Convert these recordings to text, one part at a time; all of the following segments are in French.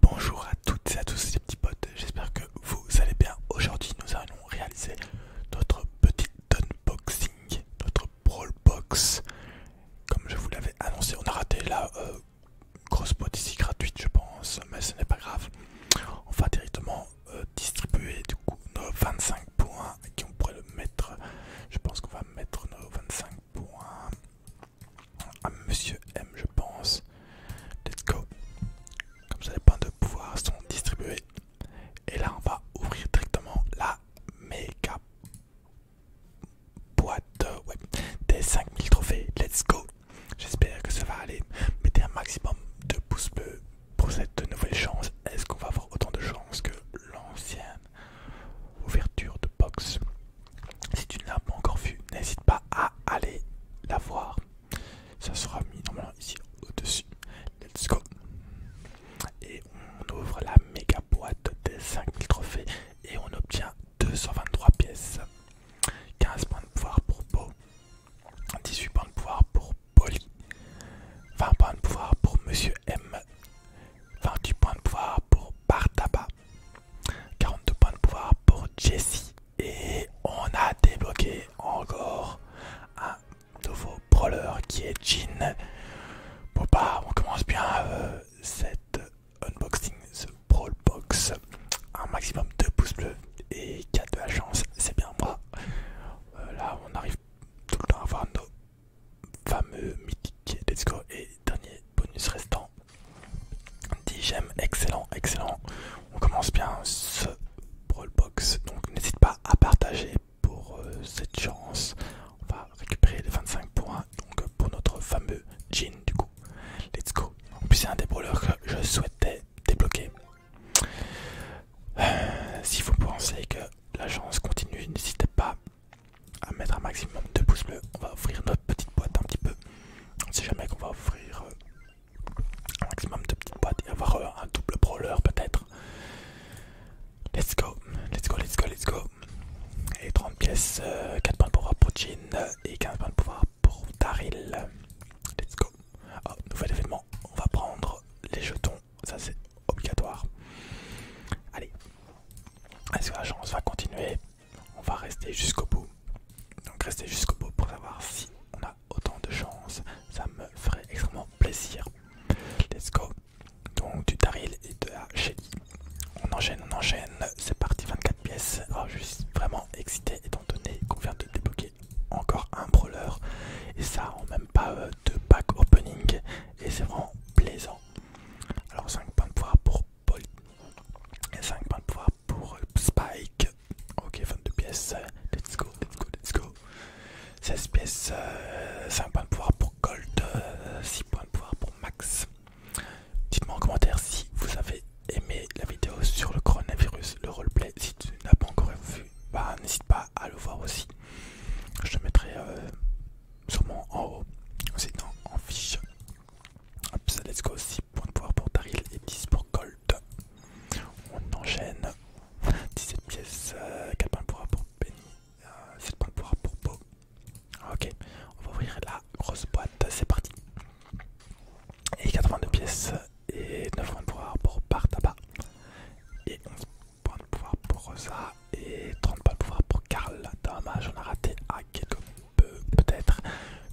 Bonjour à toutes et à tous les petits potes, j'espère que vous allez bien. Aujourd'hui nous allons réaliser notre petit unboxing, notre brawl box. Comme je vous l'avais annoncé, on a raté la euh, grosse boîte ici gratuite je pense, mais ce n'est pas grave. On va directement euh, distribuer du coup nos 25 points qui on pourrait le mettre. Je pense qu'on va mettre nos 25 points à ah, Monsieur M, je pense. Let's go. Comme ça, les points de pouvoir sont distribués. Et là, on va ouvrir directement la méga boîte des 5000 trophées. Let's go. J'espère que ça va aller. Mettez un maximum de pouces bleus pour cette nouvelle chance. Est-ce qu'on va avoir autant de chance que l'ancienne ouverture de box si tu ne l'as pas encore vue, n'hésite pas à aller la voir. Ça sera mis normalement ici au-dessus. Let's go. Et on ouvre la méga boîte des 5000 trophées et on obtient 223 pièces. 15 points de pouvoir pour Beau. 18 points de pouvoir pour Polly. 20 points de pouvoir pour Monsieur M. 28 points de pouvoir pour Bartaba. 42 points de pouvoir pour Jessie. Et on a débloqué encore un nouveau brawler qui est Jean. Bon bah, on commence bien euh, cette unboxing, ce brawl box. Un maximum de pouces bleus et 4 de la chance, c'est bien moi. Euh, là on arrive tout le temps à avoir fameux mythique let's go et dernier bonus restant 10 j'aime excellent excellent on commence bien ce brawl box donc n'hésite pas à partager pour euh, cette chance on va récupérer les 25 points donc pour notre fameux jean du coup let's go en plus c'est un des brawlers que je souhaitais débloquer euh, si vous pensez que la chance continue n'hésitez pas à mettre un maximum de pouces bleus. On va ouvrir notre petite boîte un petit peu. On sait jamais qu'on va ouvrir euh, un maximum de petites boîtes et avoir euh, un double brawler peut-être. Let's go, let's go, let's go, let's go. Et 30 pièces, 4 euh, points de pouvoir pour Jin et 15 points de pouvoir pour Daryl. Let's go. Oh, nouvel événement, on va prendre les jetons ça, c'est obligatoire. Allez. Est-ce que la chance va continuer On va rester jusqu'au bout. Donc, rester jusqu'au bout pour savoir si on a autant de chance. Ça me ferait extrêmement plaisir. Let's go. Donc, du Daril et de la Shelly. On enchaîne, on enchaîne. C'est parti, 24 pièces. Oh, je suis vraiment excité étant donné qu'on vient de débloquer encore un brawler. Et ça, en même pas euh, de pack opening et c'est vraiment plaisant. Alors 5 points de pouvoir pour Paul et 5 points de pouvoir pour Spike. Ok 22 pièces, let's go, let's go, let's go. 16 pièces, 5 euh, points de pouvoir pour Gold, 6 euh, points de pouvoir pour Max. Dites-moi en commentaire si vous avez aimé la vidéo sur le coronavirus, le roleplay. Si tu n'as pas encore vu, bah, n'hésite pas à le voir aussi. Je te mettrai euh, sûrement en haut, sinon en fiche. Hop, ça let's go 6 points de pouvoir pour Daryl et 10 pour Colt. On enchaîne. 17 pièces, 4 euh, points de pouvoir pour Benny, 7 euh, points de pouvoir pour Beau. Ok, on va ouvrir la grosse boîte, c'est parti. Et 82 pièces et 9 points de pouvoir pour Bartaba. Et 11 points de pouvoir pour Rosa et 30 points de pouvoir pour Karl. Dommage, on a raté à quelques peu, peut-être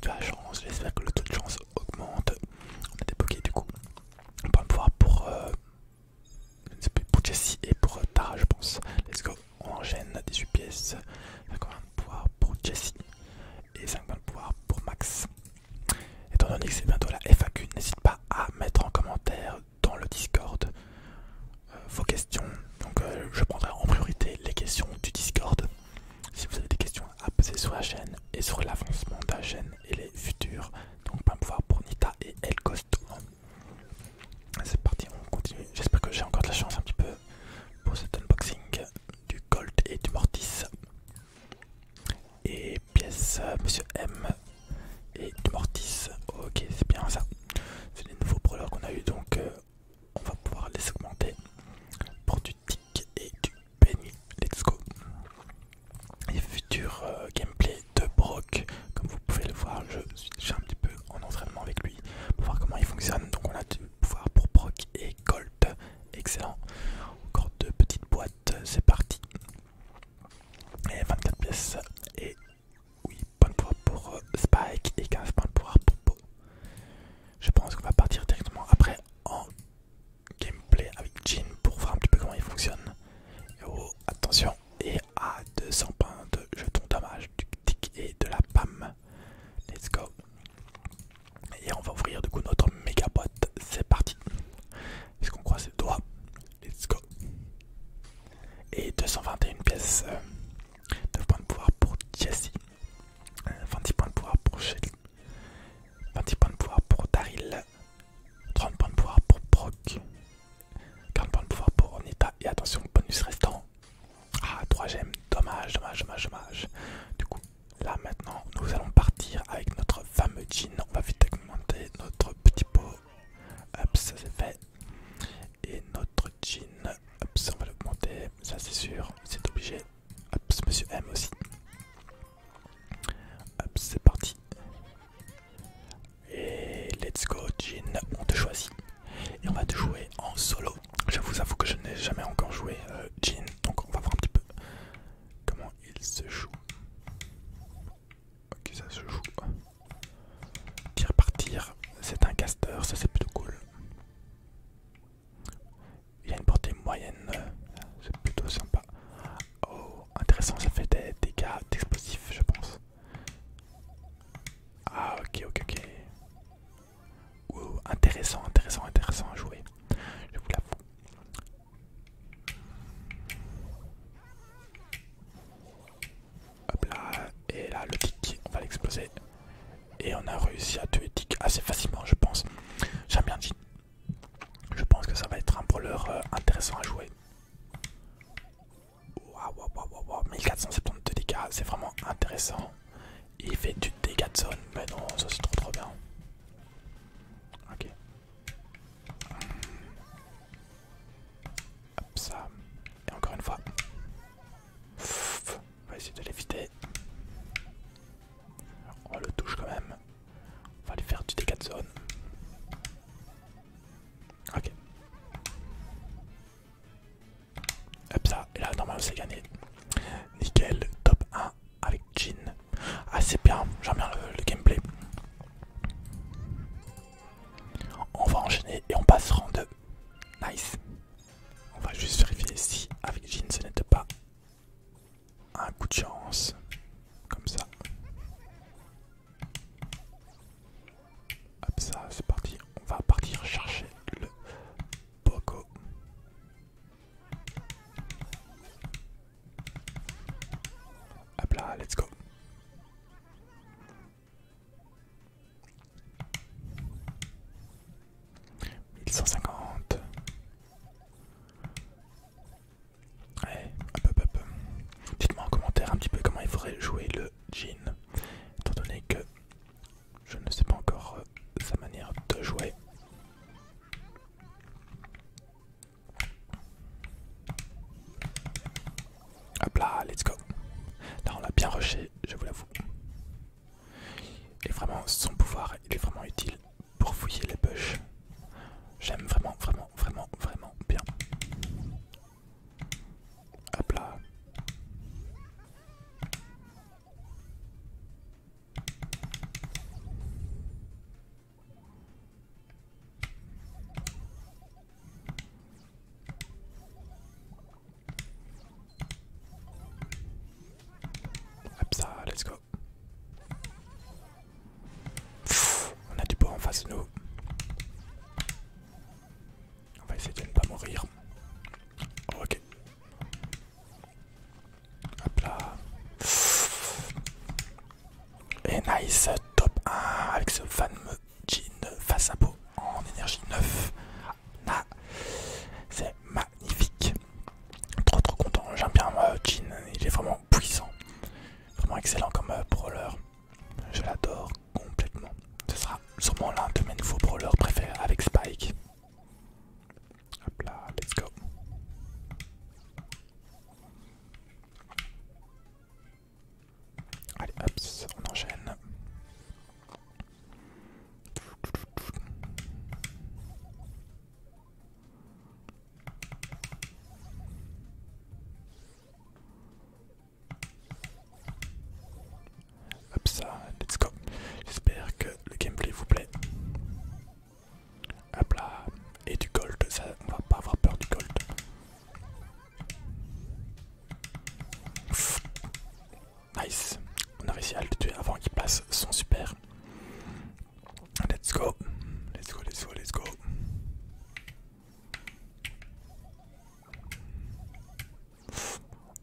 de la chance. J'espère que le taux de chance augmente. On a débloqué du coup. Point de pouvoir pour, euh, pour Jessie et pour euh, Tara, je pense. Let's go, on enchaîne 18 pièces. 50 points de pouvoir pour Jessie et 5 points de pouvoir pour Max. Étant donné que c'est bientôt la FAQ, n'hésite pas à mettre en commentaire dans le Discord euh, vos questions. Donc euh, je prendrai en priorité les questions du Discord. Si vous avez des questions à poser sur la chaîne et sur l'avancement de la chaîne et les futurs, donc pas pouvoir pour Nita et El Costo. C'est parti, on continue. J'espère que j'ai encore de la chance un petit peu pour cet unboxing du Colt et du Mortis. Et pièce euh, Monsieur M et Mortis. Ok, c'est bien ça. C'est les nouveaux brawlers qu'on a eu donc euh, on va pouvoir les augmenter pour du tic et du penny. Let's go. Et futur euh, gameplay de Brock, comme vous pouvez le voir, je suis un petit peu en entraînement avec lui pour voir comment il fonctionne. Donc on a du pouvoir pour Brock et Colt. Excellent. Encore deux petites boîtes, c'est parti. Et 24 pièces. Et oui, bonne pouvoir pour euh, Spike et 15 points de pouvoir pour Po. Je pense qu'on va partir directement après en gameplay avec Jin pour voir un petit peu comment il fonctionne. Oh, attention, et à 200 points de jetons dommage du tic et de la PAM. Let's go. Et on va ouvrir du coup notre méga boîte. C'est parti. Est-ce qu'on croise les doigts Let's go. Et 221 pièces. 9 euh, points de pouvoir pour Jesse. 20 euh, points de pouvoir pour Shelly. 20 points de pouvoir pour Daryl. 30 points de pouvoir pour Brock. 40 points de pouvoir pour Onita. Et attention, bonus restant. Ah, 3 gemmes. Dommage, dommage, dommage, dommage là maintenant nous allons partir avec notre fameux jean. On va vite augmenter notre petit pot. Hop, ça c'est fait. Et notre jean, on va l'augmenter. Ça c'est sûr, c'est obligé. Hop, monsieur M aussi. Hop, c'est parti. Et let's go, jean. On te choisit. Et on va te jouer en solo. Je vous avoue que je n'ai jamais encore joué euh, jean, donc on va voir un petit peu. Comment il se joue Ok, ça se joue. Tire par tir, c'est un caster, ça c'est plutôt cool. Il a une portée moyenne, c'est plutôt sympa. Oh, intéressant, ça fait des dégâts d'explosifs, je pense. Ah, ok, ok, ok ou intéressant, intéressant, intéressant à jouer. Je vous l'avoue. Hop là, et là le tick, on va l'exploser. Et on a réussi à tuer tick assez facilement, je pense. J'aime bien dit. Je pense que ça va être un brawler euh, intéressant à jouer. Waouh, waouh, waouh, waouh, 1472 dégâts, c'est vraiment intéressant il fait du dégât de zone. Mais ben non, ça c'est trop trop bien. Ok. Hop ça. Et encore une fois. on va essayer de l'éviter. On le touche quand même. On va lui faire du dégât de zone. Ok. Hop ça, et là normalement c'est gagné. Nickel, top 1 avec Jin. Ah c'est bien, j'aime bien le, gameplay. On va enchaîner et on passe rang 2. Nice. On va juste vérifier si avec Jin ce n'était pas un coup de chance. Comme ça. Hop ça, c'est parti. On va partir chercher le Poco. Hop là, let's go. 1150 cent hop hop hop. Dites-moi en commentaire un petit peu comment il faudrait jouer le jean, étant donné que je ne sais pas encore euh, sa manière de jouer. Hop là, let's go. Là on l'a bien rushé, je vous l'avoue. Et vraiment son pouvoir, il est vraiment utile pour fouiller les push. J'aime vraiment, vraiment, vraiment, vraiment bien. Hop là. Hop ça, let's go. on a du bois en face de nous. On va essayer de ne pas mourir. Ok. Hop là. Et nice, top 1 avec ce fameux jean face à peau en énergie 9. Ah, c'est magnifique. Trop trop content, j'aime bien euh, jean, il est vraiment puissant. Vraiment excellent comme brawler. Euh, je l'adore complètement. Ce sera sûrement l'un de mes nouveaux brawlers préférés avec Spike. Hop là, let's go. Allez, hop, on enchaîne. Hop ça, let's go. J'espère que le gameplay vous plaît. Hop là, et du gold, ça, on va pas avoir peur du gold. nice, on a réussi à le tuer avant qu'il passe son super. Let's go, let's go, let's go, let's go.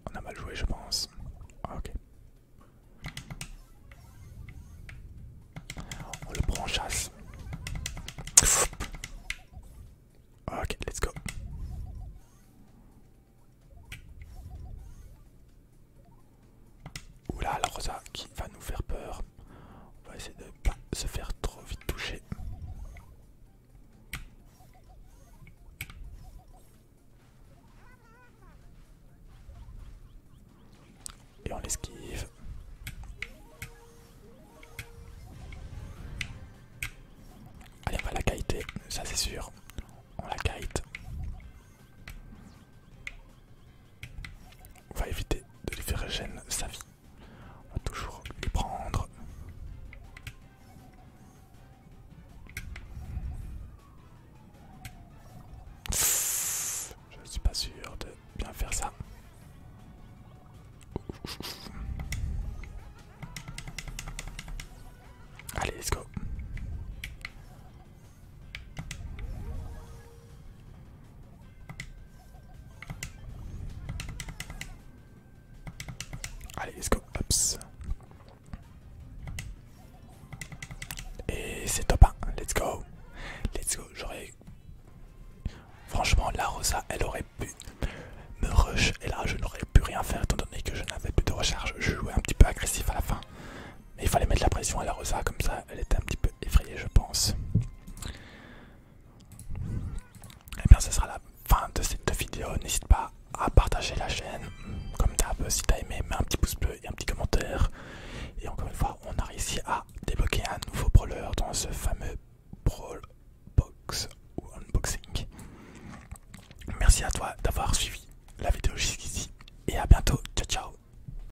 On a mal joué, je pense. Ah, ok. On le prend en chasse. Ah, ok, let's go. Oula, la Rosa qui va nous faire peur on va essayer de pas se faire trop vite toucher et on l'esquive allez on va la kiter ça c'est sûr on la kite on va éviter de lui faire gêner sa vie on va toujours prendre. Je suis pas sûr de bien faire ça. Allez, let's go. Allez, let's go, Et c'est top let's go. Let's go, j'aurais... Franchement, la Rosa, elle aurait pu me rush. Et là, je n'aurais pu rien faire étant donné que je n'avais plus de recharge. Je jouais un petit peu agressif à la fin. Mais il fallait mettre la pression à la Rosa, comme ça, elle était un petit peu effrayé je pense. Et eh bien ce sera la fin de cette vidéo. N'hésite pas à partager la chaîne. Comme d'hab, si t'as aimé, mets un petit pouce bleu et un petit commentaire. Et encore une fois, on a réussi à débloquer un nouveau brawler dans ce fameux brawl box ou unboxing. Merci à toi d'avoir suivi la vidéo jusqu'ici et à bientôt. Ciao ciao